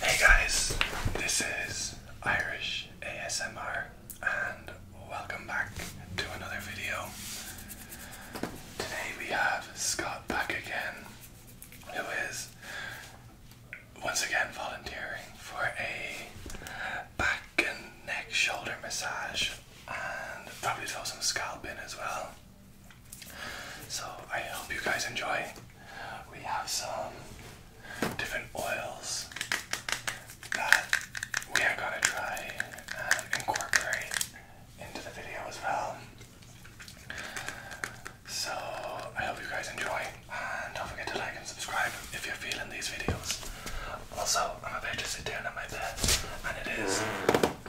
Hey guys, this is Irish ASMR and welcome back to another video. Today we have Scott back again, who is once again volunteering for a back and neck shoulder massage and probably throw some scalp in as well. So I hope you guys enjoy. We have some different oils that we are gonna try and incorporate into the video as well. So I hope you guys enjoy and don't forget to like and subscribe if you're feeling these videos. Also, I'm about to sit down on my bed and it is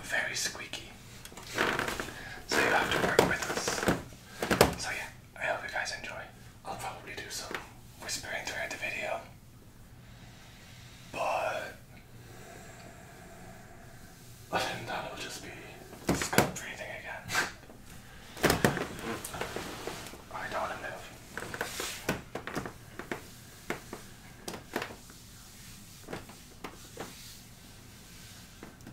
very squeaky. So you have to work with us. So yeah, I hope you guys enjoy. I'll probably do some whispering throughout the video. But other than that it'll just be scope breathing again. I don't want to move.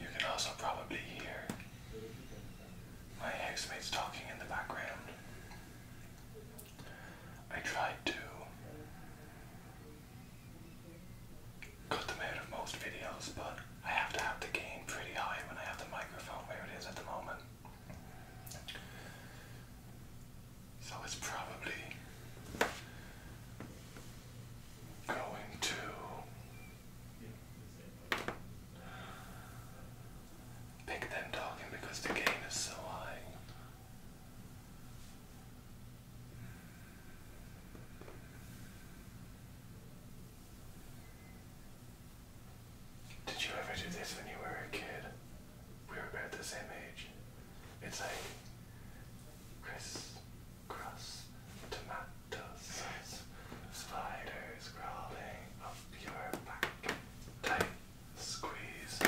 You can also probably hear my housemates talking in the background. I tried to cut them out of most videos, but I have to have the gain pretty high when I have the microphone where it is at the moment. So it's probably going to pick them talking because the gain is so high. Did you ever do this when you were a kid? We were about the same age. It's like crisp crust tomato sauce, spiders crawling up your back. Tight squeeze,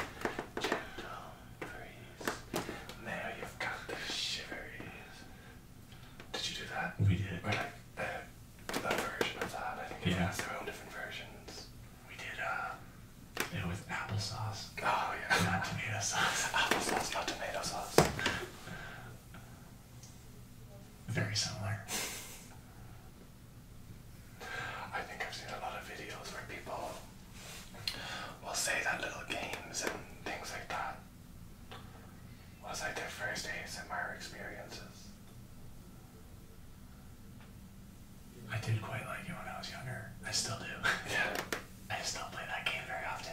gentle breeze. Now you've got the shiveries. Did you do that? We did. We're like, uh, I think yeah. it's their own different versions. We did uh, it was applesauce. Oh yeah, not tomato sauce. Applesauce, not tomato sauce. Very similar. I think I've seen a lot of videos where people will say that little games and things like that was like their first ASMR experiences. I did quite like it when I was younger. I still do. yeah. I still play that game very often.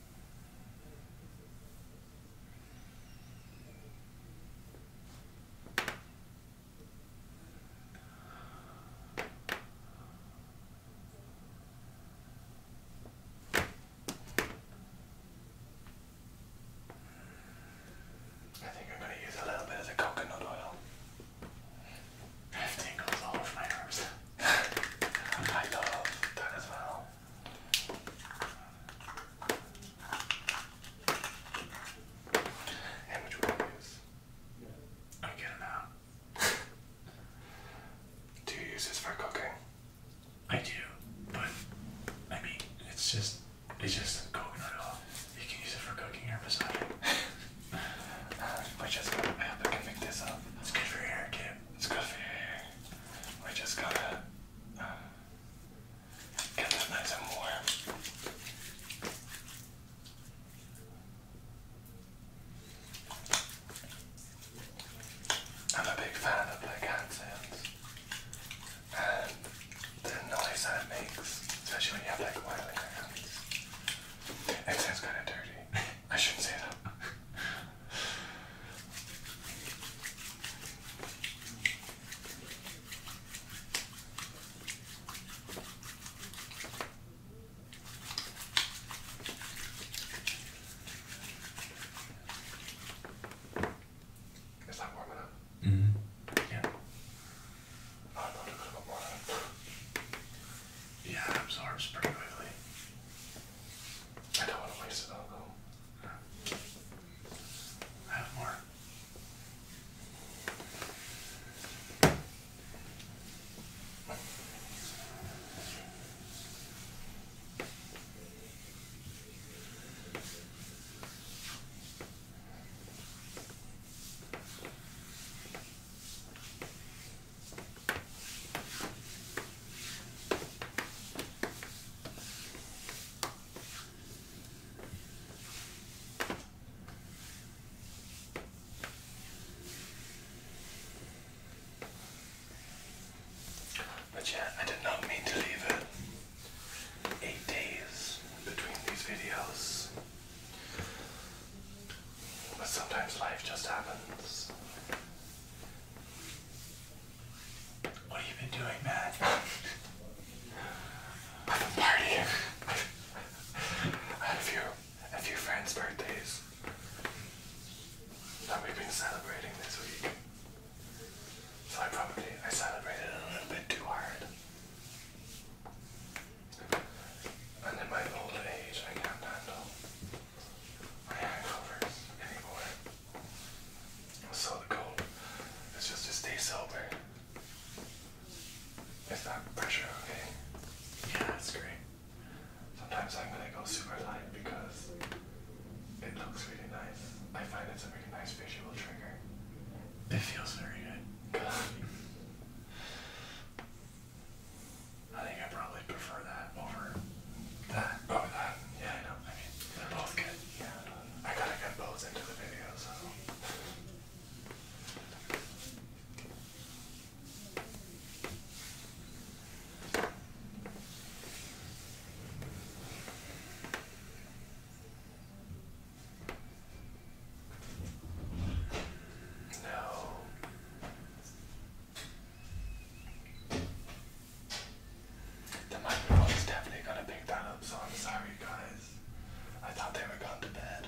I think I'm going to use a little bit of the coconut oil. i tingles all over my arms. I love that as well. I get it now. do you use this for cooking? I do, but I mean, it's just it's just coconut oil. You can use it for cooking or massaging. uh, we just gotta I hope I can make this up. It's good for hair, kid. It's good for hair. We just gotta um, and nice and warm. I'm a big fan of black hand and the noise that it makes, especially when you have like oily hands. It sounds kind of dirty. I shouldn't say that. Is that warm enough? Mm hmm Yeah. Oh, yeah, it absorbs pretty quickly. I don't want to waste it have more. But yeah, I did not mean to leave it eight days between these videos. But sometimes life just happens. What have you been doing, Matt? I've been partying. I had a few, a few friends' birthdays that we've been celebrating this week. So I probably I celebrated a little bit too hard. And in my old age, I can't handle my hangovers anymore. So cold. It's just to stay sober. It's not pressure, okay? Yeah, that's great. Sometimes I'm gonna go super light because it looks really nice. I find it's a really nice visual trigger. It feels very good. I think I probably prefer that over that? Oh, that. Yeah, I know. I mean, they're both good. Yeah. I gotta get both into the video, so. No. The microphone is definitely gonna pick that up, so I'm sorry, guys. I thought they were gone to bed.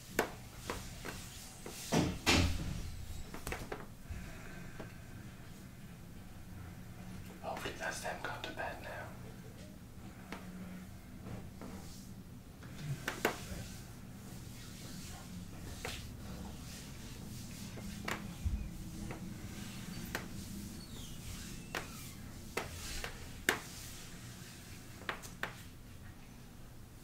Hopefully that's them gone to bed now.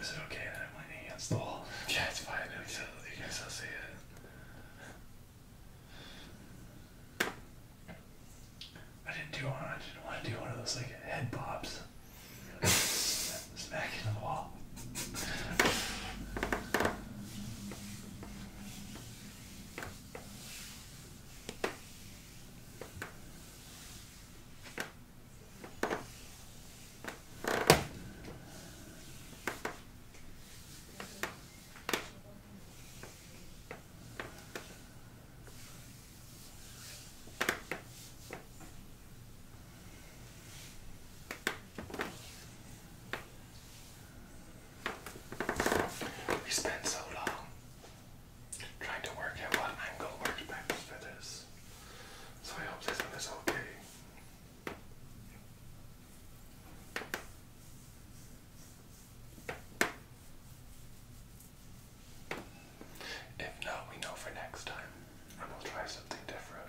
Is it okay that I'm the wall? Yeah, it's fine. You can still see it. I didn't do one. I didn't want to do one of those like head bobs. Like, smack into the wall. We spent so long trying to work out what angle works best for this. So I hope this one is okay. If not, we know for next time, and we'll try something different.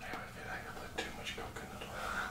I have a feeling I put too much coconut oil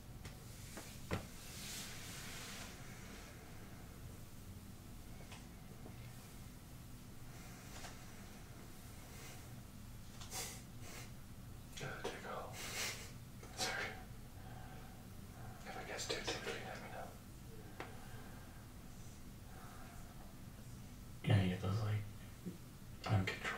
Oh, take a Sorry. If I gets too tingly, let me know. Yeah, you get those like uncontrollable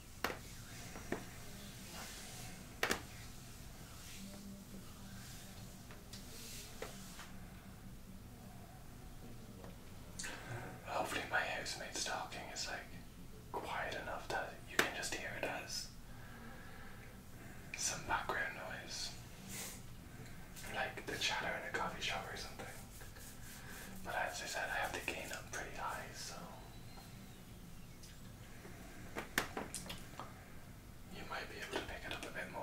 Hopefully, my housemate's talking is like quiet enough that you can just hear it as some background noise, like the chatter in a coffee shop or something. But as I said, I have the gain up pretty high, so you might be able to pick it up a bit more.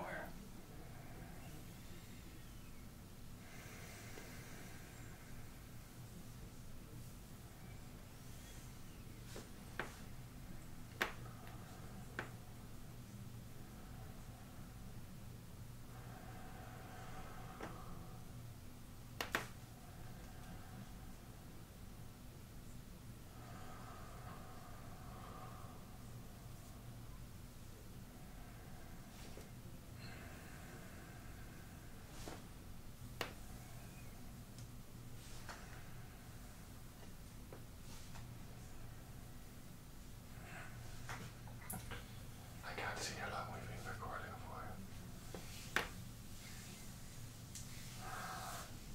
I can't see how long we've been recording for.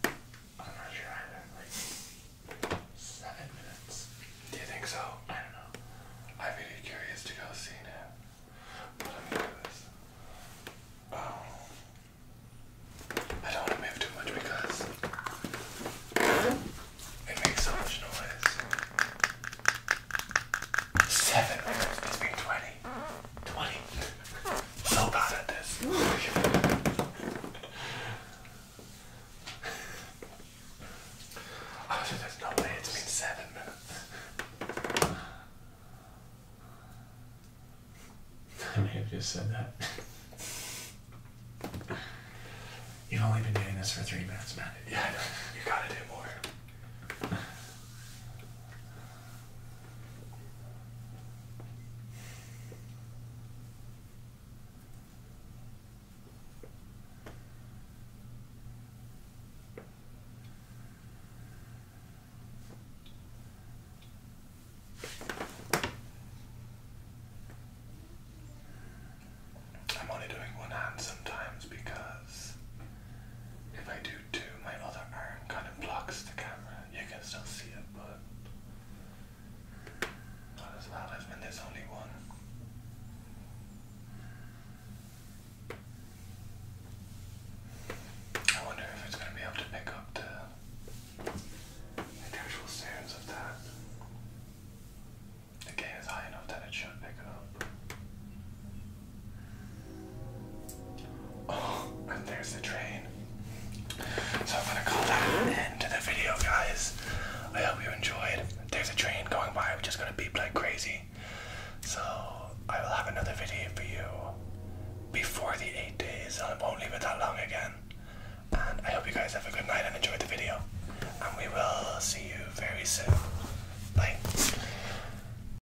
I'm not sure. I like seven minutes. Do you think so? I don't know. I'd be curious to go see now. But let me do this. I don't want to move too much because it makes so much noise. Seven minutes, it's been 20. 20. So bad at this. oh, so there's no way it's been seven minutes. I may have just said that. You've only been doing this for three minutes, man. Yeah, you gotta do more. I'm only doing one hand sometimes because if I do my other arm kind of blocks the camera. You can still see it, but not as well as when there's only one. I wonder if it's going to be able to pick up the actual sounds of that. The gain is high enough that it should pick it up. Oh, and there's the train. So I'm gonna call that an end to the video, guys. I hope you enjoyed. There's a train going by, We're just gonna beep like crazy. So I will have another video for you before the eight days. I won't leave it that long again. And I hope you guys have a good night and enjoyed the video. And we will see you very soon. Bye.